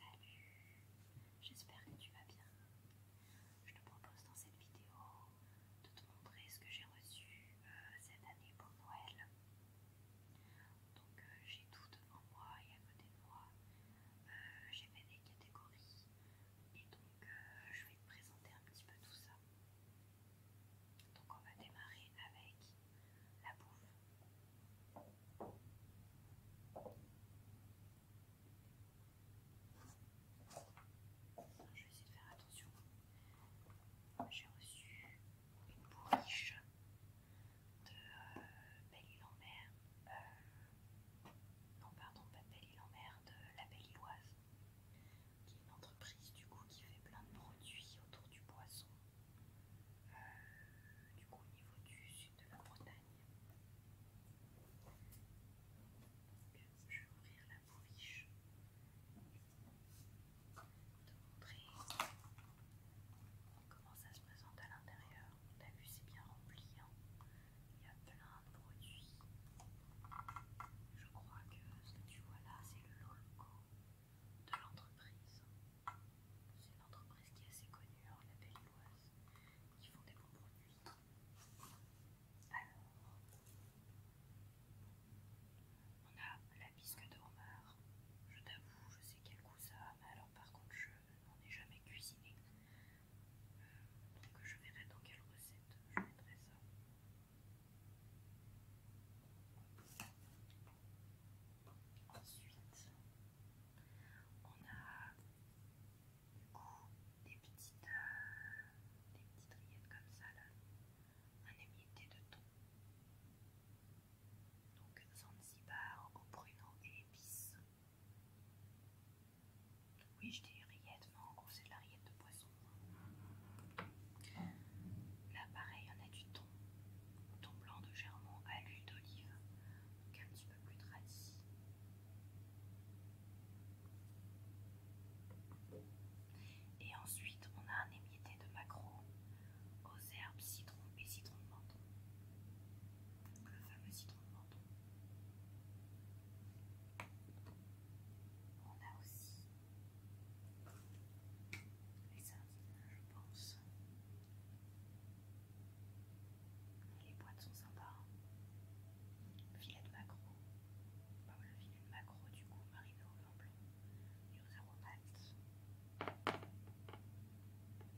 Salut, j'espère que tu vas bien. Je te propose dans cette vidéo de te montrer ce que j'ai reçu euh, cette année pour Noël. Donc euh, j'ai tout devant moi et à côté de moi. Euh, j'ai fait des catégories et donc je vais te présenter un petit peu tout ça. Donc on va démarrer avec la bouffe. Je vais essayer de faire attention. J'ai reçu une bourriche de euh, Belle-Île-en-Mer. Euh, non, pardon, pas de Belle-Île-en-Mer, de la Belle-Îloise qui est une entreprise du coup qui fait plein de produits autour du poisson, euh, du coup au niveau du sud de la Bretagne. je vais ouvrir la bourriche te montrer comment ça se présente à l'intérieur. T'as vu, c'est bien rempli. Hein. Il y a plein de produits. Je crois que ce que tu vois là, c'est le lolco de l'entreprise. C'est une entreprise qui est assez connue hein, la Belleboise, qui font des bons produits. Alors, on a la bisque de homard. Je t'avoue, je sais quel goût ça a, mais alors par contre, je n'en ai jamais cuisiné. Euh, donc, je verrai dans quelle recette je mettrai ça. Ensuite, on a euh, des petites, rillettes comme ça là, un émietté de thon. Donc Zanzibar au pruneau et épices. Oui, je dis rillettes, mais en gros c'est de la rillette de poisson. Là, pareil, on a du thon, thon blanc de Germont à l'huile d'olive, donc un petit peu plus tradit. Et ensuite, on a un émietté de maquereau aux herbes citron et citron de menton. le fameux citron de menton. On a aussi les sardines, je pense. Les boîtes sont sympas. Filet de maquereau. le filet de maquereau, du coup, va arriver au blanc blanc. Aux aromates.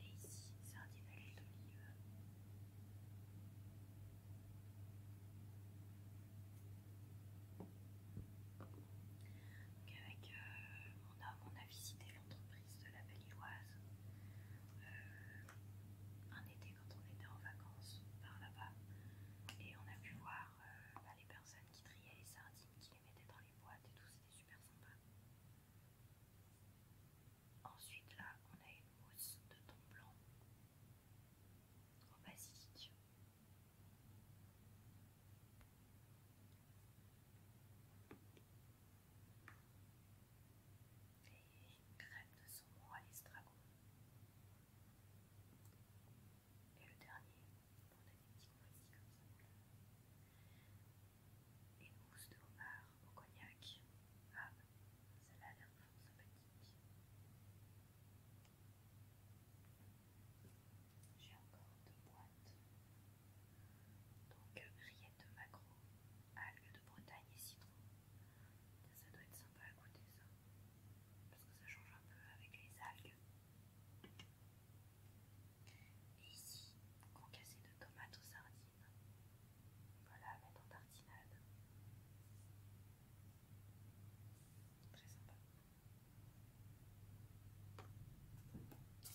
Et ici, sardines à de d'olive. Donc avec mon euh, on a visité l'entreprise de la belle euh, un été quand on était en vacances par là-bas et on a pu voir euh, bah, les personnes qui triaient les sardines, qui les mettaient dans les boîtes et tout, c'était super sympa. Ensuite là, on a une mousse de thon blanc trop basique. Et crème de saumon à l'estragon. Et le dernier, on a des petits ici comme ça. Une mousse de homard au cognac. Ah, celle-là a l'air fort sympathique. J'ai encore deux boîtes. Donc rillettes de maquereau, algues de Bretagne et citron. Ça doit être sympa à goûter ça. Parce que ça change un peu avec les algues. Et ici, concassé de tomates aux sardines. Voilà, à mettre en tartinade. Très sympa.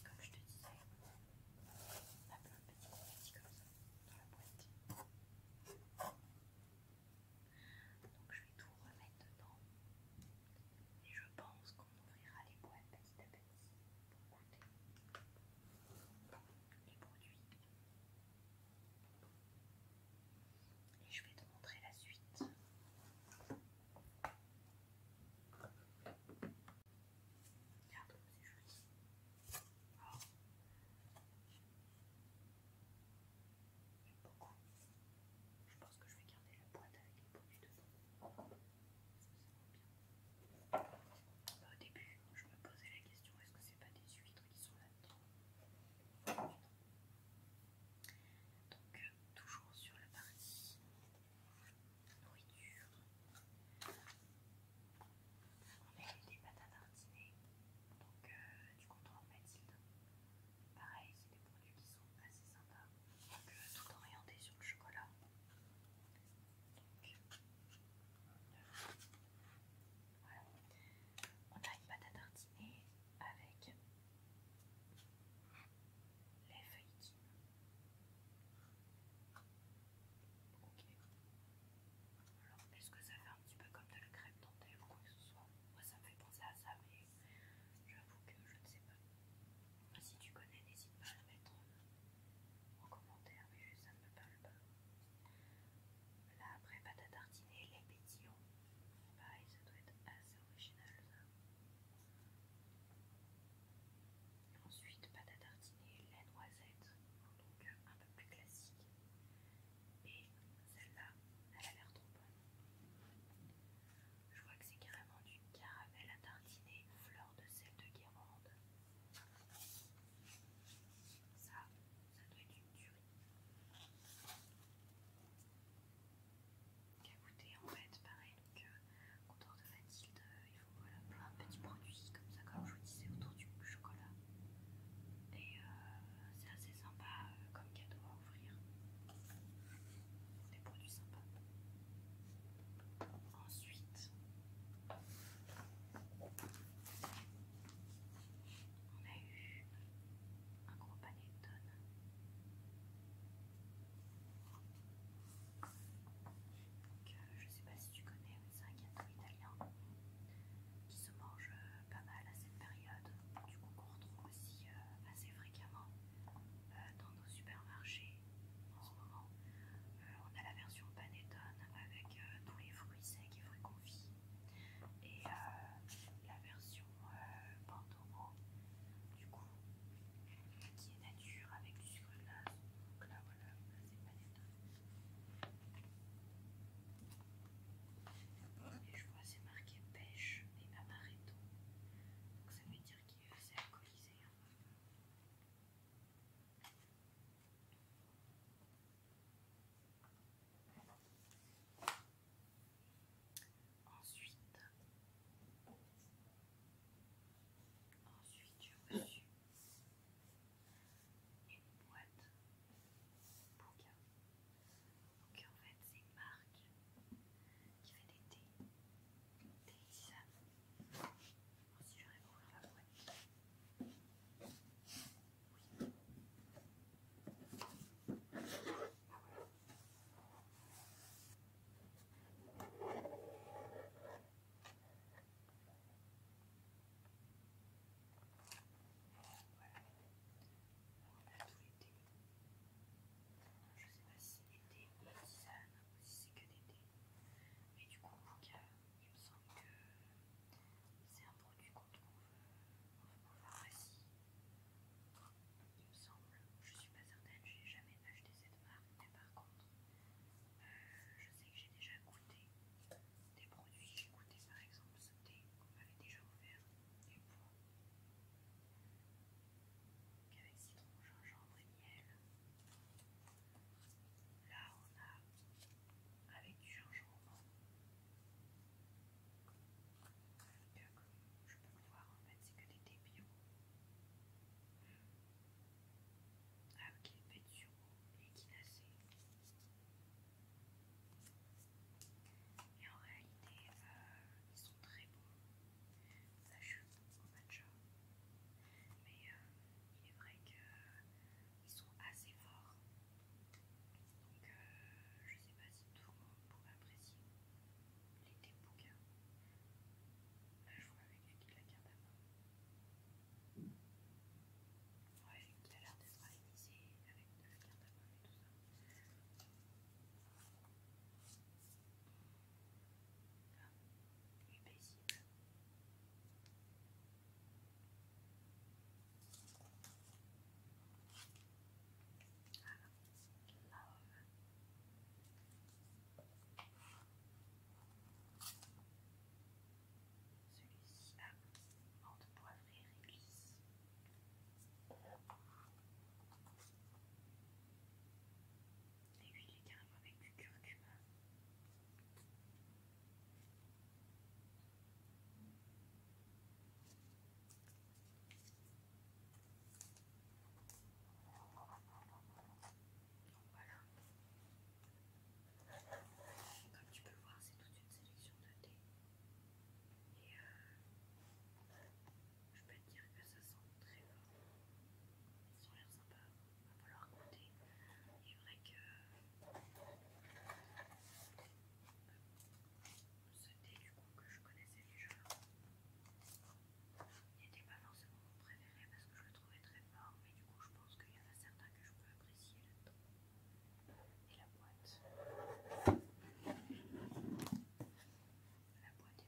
Comme je te disais, on a plein de petits confettis comme ça dans la boîte. Donc je vais tout remettre dedans. Et je pense qu'on ouvrira les boîtes petit à petit pour goûter les produits. Et je vais te montrer la suite. Regarde, comme c'est joli. Oh. J'aime beaucoup. Je pense que je vais garder la boîte avec les poches dedans. Parce que ça bien. au début, je me posais la question est-ce que c'est pas des huîtres qui sont là-dedans donc, toujours sur la partie nourriture, on a eu des patates à tartiner, donc euh, du contre Mathilde. Pareil, c'est des produits qui sont assez sympas, donc euh, tout orienté sur le chocolat. Donc, voilà. On a une patate à avec les feuilles Ok. Alors, est-ce que ça fait un petit peu comme de la crème dentelle ou quoi que ce soit Moi, ça me fait penser à ça, mais j'avoue que je ne sais pas. Si tu connais, n'hésite pas à le mettre en commentaire, mais ça ne me parle pas. Là, après, pâte à tartiner, les pétillons. Pareil, ça doit être assez original, ça. Ensuite, pâte à tartiner, la noisette, donc un peu plus classique. Et celle-là, elle a l'air trop bonne. Je vois que c'est carrément du caramel à tartiner, fleur de sel de guérande. Ça, ça doit être une tuerie goûter, en fait, pareil, donc euh, contour de Mathilde, il euh, il faut voilà, plein de petits produits comme ça, comme je vous disais, autour du chocolat. Et euh, c'est assez sympa comme cadeau à ouvrir, Des produits sympas. Ensuite, on a eu un gros panier de tonnes. Je euh, je sais pas si tu connais, mais c'est un gâteau italien qui se mange euh, pas mal à cette période. Du coup, qu'on retrouve aussi euh, assez fréquemment dans nos supermarchés en ce moment. On a la version panettone avec tous les fruits secs et fruits confits, et la version euh, du coup, qui est nature avec du sucre glace. Donc là, voilà, c'est pas étonnant. Et je vois, c'est marqué pêche et amaretto. Donc ça veut dire qu'il c'est alcoolisé. Hein. Ensuite, ensuite j'ai reçu une boîte de Donc en fait c'est une marque qui fait des thés, des tisanes. Si je vais ouvrir la boîte. Oui. Ah voilà. Je sais pas si c'est des thés ou si c'est que l'été. Mais du coup, il me semble que c'est un produit qu'on trouve pouvoir euh, pharmacie il me semble, je suis pas certaine, j'ai jamais acheté cette marque, mais par contre, euh, je sais que j'ai déjà goûté des produits. J'ai goûté par exemple ce thé qu'on m'avait déjà ouvert. avec citron, gingembre et miel. Là, on a avec du gingembre je peux voir en fait, c'est que des débios. Ah ok, pétiaux et Kinacé. Et en réalité, ils sont très bons Ça chute au matcha. Mais il est vrai qu'ils sont assez forts. Donc je sais pas si tout le monde pourrait apprécier. Il était bouquin. Là, je vois avec qui la garde à main. Ouais, il a l'air de travailler ici avec de la garde à main et tout ça. Ah, il est paisible. Ah, celui-ci a une poivrée réglisse. Et lui, il est carrément avec du curcuma. Voilà. Comme tu peux le voir, c'est toute une sélection de thé. Et je peux te dire que ça sent très bon. Ils ont l'air sympas. Il va falloir goûter. Il est vrai que ce thé, du coup, que je connaissais déjà, il n'était pas forcément mon préféré parce que je le trouvais très fort, mais du coup je pense qu'il y en a certains que je peux apprécier là-dedans. Et la boîte. La boîte est magnifique. La boîte est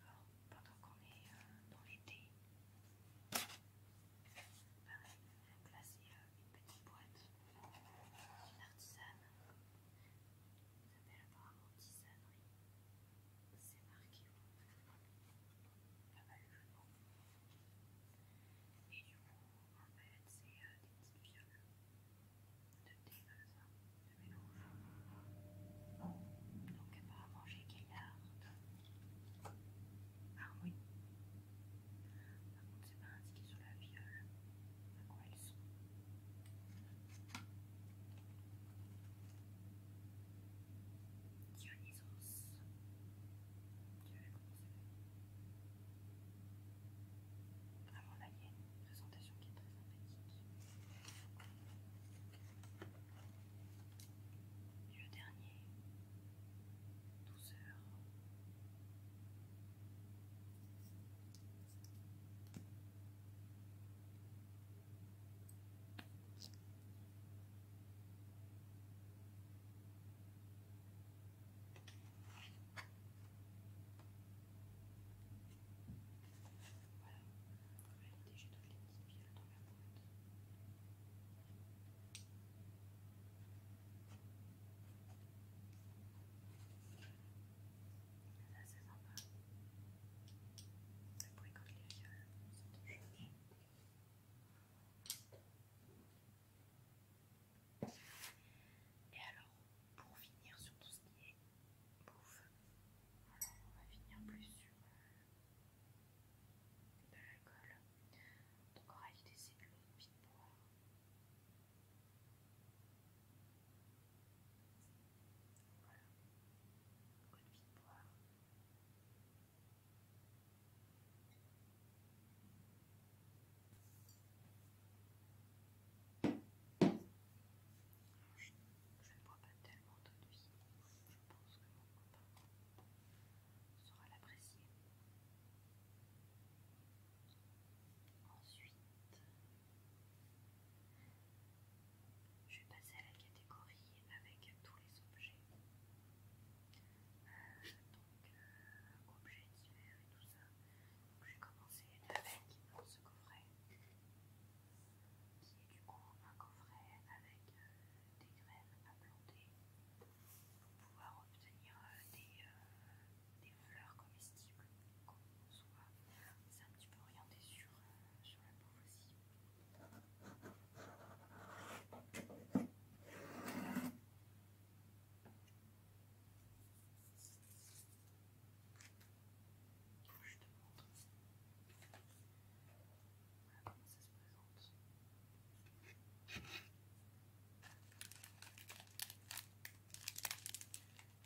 alors, pendant qu'on est euh, dans l'été, pareil, là c'est euh, une petite boîte d'une artisane, qui s'appelle apparemment artisanerie, c'est marqué pas mal le jeu et du coup en fait c'est euh, des petites viols de thé comme ça. Bon, donc apparemment j'ai gaillard. Ah oui. Par contre, c'est pas indiqué sur la viole à quoi elles sont. Dionysos. Vraiment là, il y a une présentation qui est très sympathique le dernier, douceur. heures. Voilà. En réalité, j'ai toutes les petites violes dans ma boîte. C'est c'est sympa. Le bruit quand les violes Et alors, pour finir sur tout ce qui est bouffe, alors on va finir plus sur de l'alcool. Donc on va essayer de vie de boire Voilà, vie de pipe-boire. Je, je ne bois pas tellement d'eau de vie, je pense que mon copain saura l'apprécier. Ensuite, je vais passer à la catégorie avec tous les objets. donc, euh, objets divers et tout ça. Donc, vais commencer avec ce coffret qui est du coup un coffret avec euh, des graines à planter pour pouvoir obtenir euh, euh, des, fleurs comestibles soit. C'est un petit peu orienté sur, la peau aussi. te voilà comment ça se présente.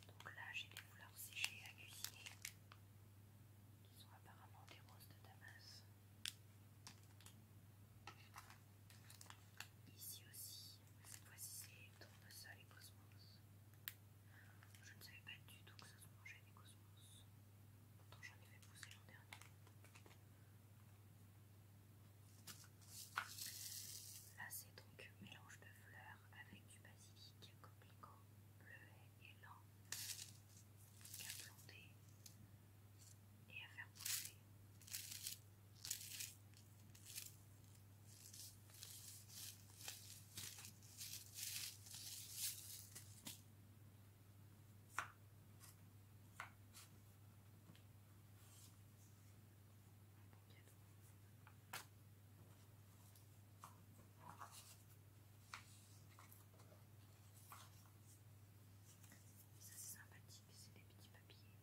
Donc là, j'ai des fleurs séchées à cuisiner qui sont apparemment des roses de Damas. Ici aussi, cette fois-ci c'est ça et cosmos. Je ne savais pas du tout que ça se mangeait des cosmos. Pourtant j'en ai fait pousser l'an dernier. Là c'est donc un mélange de fleurs avec du basilic, coquelicot, bleu et Et à planter et à faire pousser c'est sympathique, c'est des petits papiers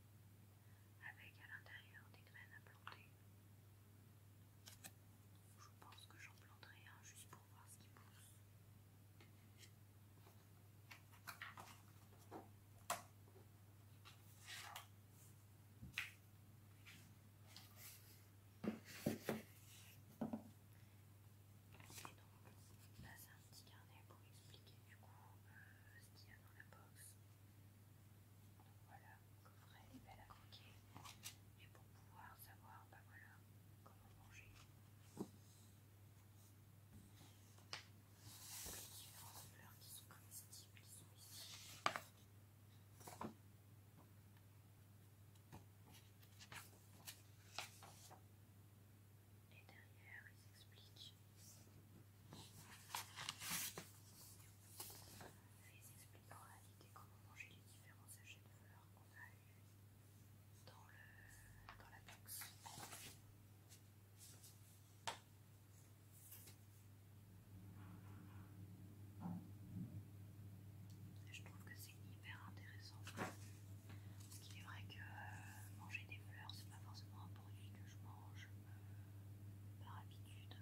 avec à l'intérieur des graines à planter. Je pense que j'en planterai un juste pour voir ce qui pousse. Et donc, là c'est un petit carnet pour expliquer du coup euh, ce qu'il y a dans la box. Donc voilà, coffret, les belles à croquer. Et pour pouvoir savoir, bah voilà, comment manger. Les différentes fleurs qui sont comme comestibles, qui sont ici. Et derrière, ils expliquent. Ils expliquent en réalité comment manger les différents sachets de fleurs qu'on a dans, le, dans la box. Je trouve que c'est hyper intéressant. Parce qu'il est vrai que euh, manger des fleurs, c'est pas forcément un produit que je mange euh, par habitude.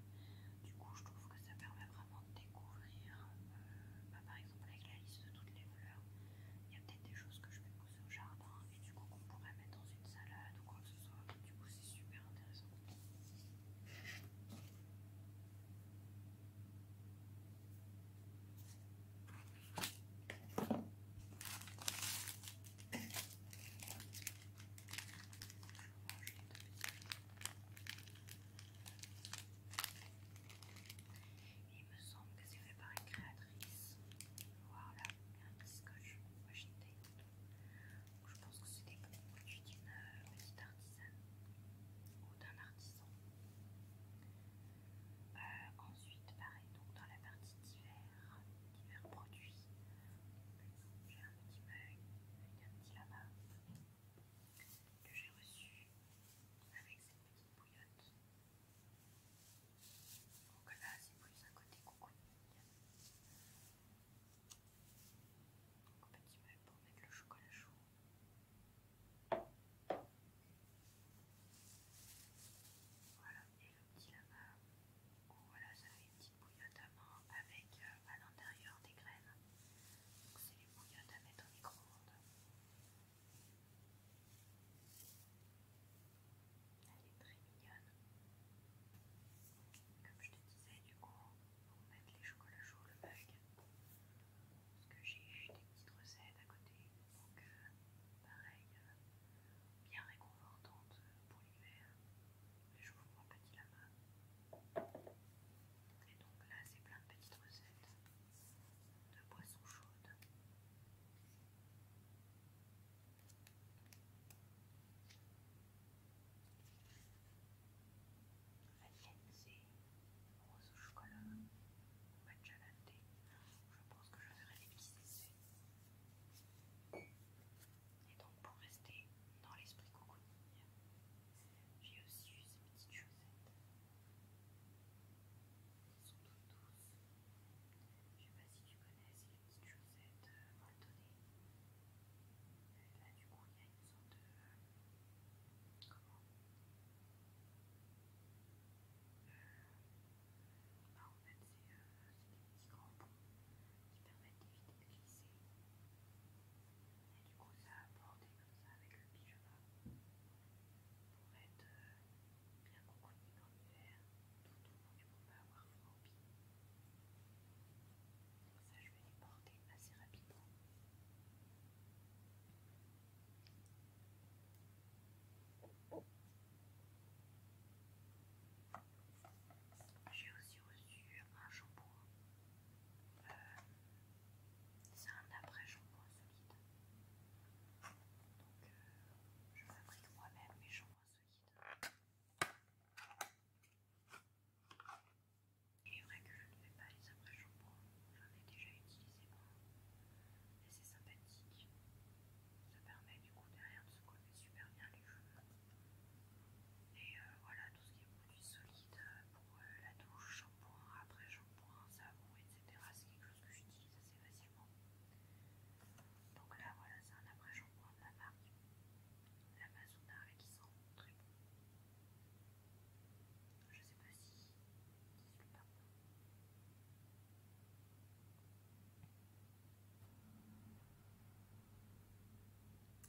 Du coup, je trouve que ça permet découvrir, euh, bah, par exemple avec la liste de toutes les fleurs, il y a peut-être des choses que je vais pousser au jardin et du coup qu'on pourrait mettre dans une salade ou quoi que ce soit, du coup c'est super intéressant. Il me semble que c'est fait par une créatrice. Voilà, il y a un petit scotch je pense que c'est des produits d'une euh, petite artisane ou d'un artisan. Euh, ensuite, pareil, donc dans la partie divers, divers produits, j'ai un petit mug avec un petit lama que j'ai reçu avec cette petite bouillotte. Donc là, c'est plus un côté coconique. Donc petit pour mettre le chocolat chaud. Voilà, et le petit lava Voilà, ça fait une petite bouillotte à main avec euh, à l'intérieur des graines. Donc c'est les bouillottes à mettre au micro-ondes. Elle est très mignonne. Comme je te disais, du coup, pour mettre les chocolats chauds, le bug. parce que j'ai des petites recettes à côté, donc euh, pareil, euh, bien réconfortante pour l'hiver. je vous petit Lama. Et donc là, c'est plein de petites recettes de boissons chaudes La rose au chocolat, matcha latte. Je pense que je ferai des petits Et donc, pour rester dans l'esprit cocooning, j'ai aussi eu ces petites chaussettes. Ils sont tous douces. Je sais pas si tu connais, ces petites chaussettes molletonnées euh, là, du coup, il y a une sorte de. comment euh, bah, En fait, c'est euh, des petits qui permettent d'éviter de glisser. Et du coup, ça a bordé comme ça avec le pyjama pour être bien contenu dans l'hiver, tout au long du pas avoir froid au pied. Donc, ça, je vais les porter assez rapidement. J'ai aussi reçu un shampoing euh, c'est un après shampoo solide. Donc, euh, je fabrique moi-même mes shampoings solides. et est vrai que je ne fais pas les après-shampoings, j'en ai déjà utilisé moi. Et c'est sympathique. Ça permet du coup derrière de se coller super bien les cheveux. Et euh, voilà, tout ce qui est produit solide euh, pour la douche, un après shampoing, savon, etc. C'est quelque chose que j'utilise assez facilement. Donc là, voilà, c'est un après shampoing de la marque L'Amazona et qui sent très bon. Je sais pas si c'est le parfum.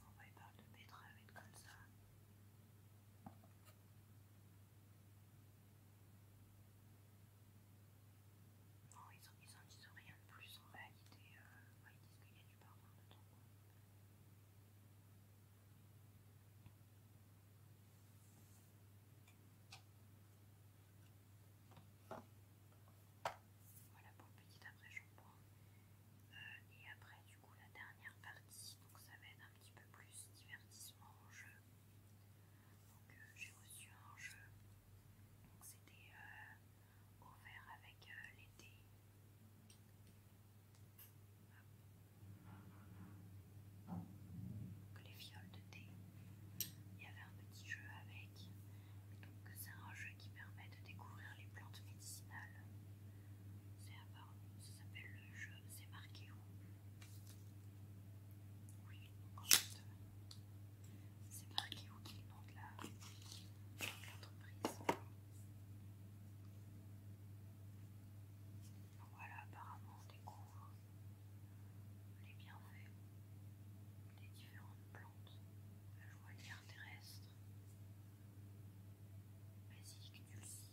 On va y parler de avec comme ça ils n'en disent rien de plus en réalité. Euh, ils disent qu'il y a du parfum dedans. Voilà pour le petit après-shampoing. Hein. pense euh, et après, du coup, la dernière partie, donc ça va un petit peu plus divertissement en jeu. Donc euh, j'ai reçu un jeu, donc c'était au euh, vert avec les euh, l'été. Donc les fioles de thé. Il y avait un petit jeu avec. Donc c'est un jeu qui permet de découvrir les plantes médicinales. C'est ça s'appelle le jeu, c'est marqué où Oui, en fait, c'est marqué où qui nom de l'entreprise. Voilà, apparemment on découvre les bienfaits des différentes plantes, la joie terrestre, basique, dulcie,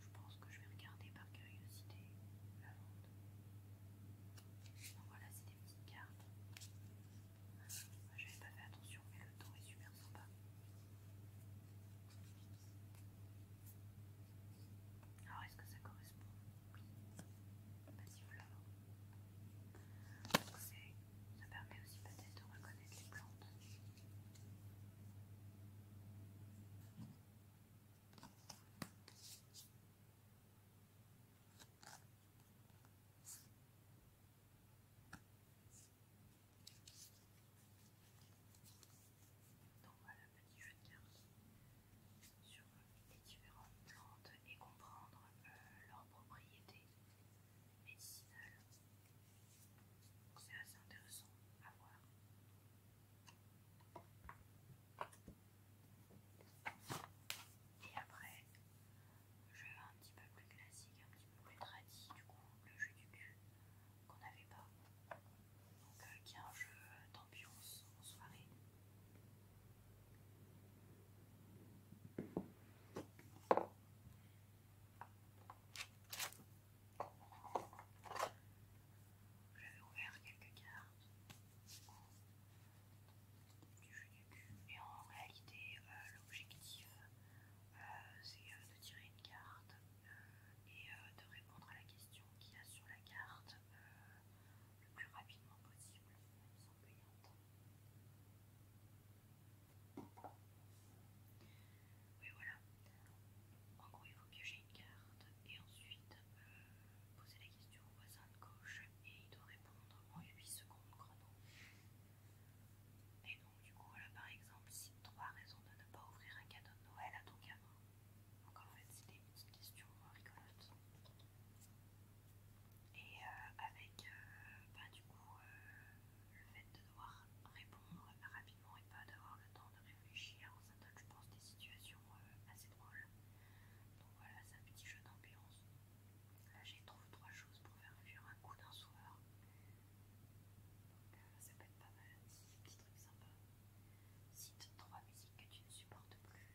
je pense que je vais regarder par curiosité la vente. Donc voilà, c'est des petites cartes. je J'avais pas fait attention, mais le temps est super sympa. Alors, est-ce que ça correspond Oui. si Donc, c'est ça permet aussi peut-être de reconnaître les plantes. Donc voilà, petit jeu de cartes sur les différentes plantes et comprendre euh, leurs propriétés. C'est assez intéressant à voir. Et après, le jeu un petit peu plus classique, un petit peu plus tradit, du coup, le jeu du cul qu'on n'avait pas. Donc, qui est un jeu d'ambiance en soirée. J'avais ouvert quelques cartes du jeu du cul et en réalité l'objectif c'est de tirer une carte et de répondre à la question qu'il y a sur la carte euh, le plus rapidement possible, même sans payer un temps. Oui, voilà. En gros, il faut piocher une carte et ensuite euh, poser la question au voisin de gauche et il doit répondre en 8 secondes chrono. Et donc, du coup, voilà par exemple, cite 3 raisons de ne pas ouvrir un cadeau de Noël à ton gamin. Donc, en fait, c'est des petites questions rigolotes. Et euh, avec, euh, bah, du coup, le fait de devoir répondre rapidement et pas d'avoir le temps de réfléchir, ça donne, je pense, des situations euh, assez drôles. Donc voilà, c'est un petit jeu d'ambiance. Là, j'ai trouvé trois choses pour faire fuir un coup d'un soir. Donc euh, ça peut être pas mal, un petits trucs sympas. Cite trois musiques que tu ne supportes plus.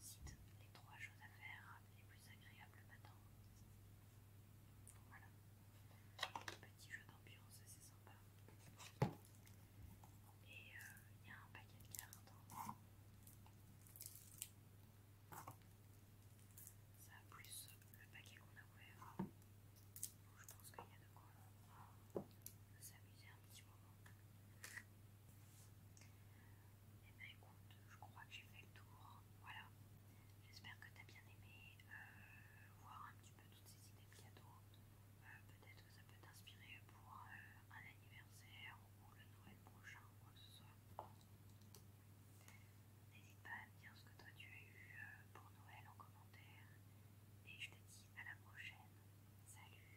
Cite les trois choses à faire les plus agréables le matin. voilà. Petit jeu d'ambiance, c'est sympa. Et euh, il y a un paquet de cartes. Hein. Ça plus le paquet qu'on a ouvert. je pense qu'il y a de quoi hein, s'amuser un petit moment. Et eh ben écoute, je crois que j'ai fait le tour. Voilà. J'espère que tu as bien aimé euh, voir un petit peu toutes ces idées de cadeaux. Euh, peut-être que ça peut t'inspirer pour euh, un anniversaire ou le Noël prochain quoi que ce soit. N'hésite pas à me dire ce que toi tu as eu pour Noël en commentaire. Et je te dis à la prochaine. Salut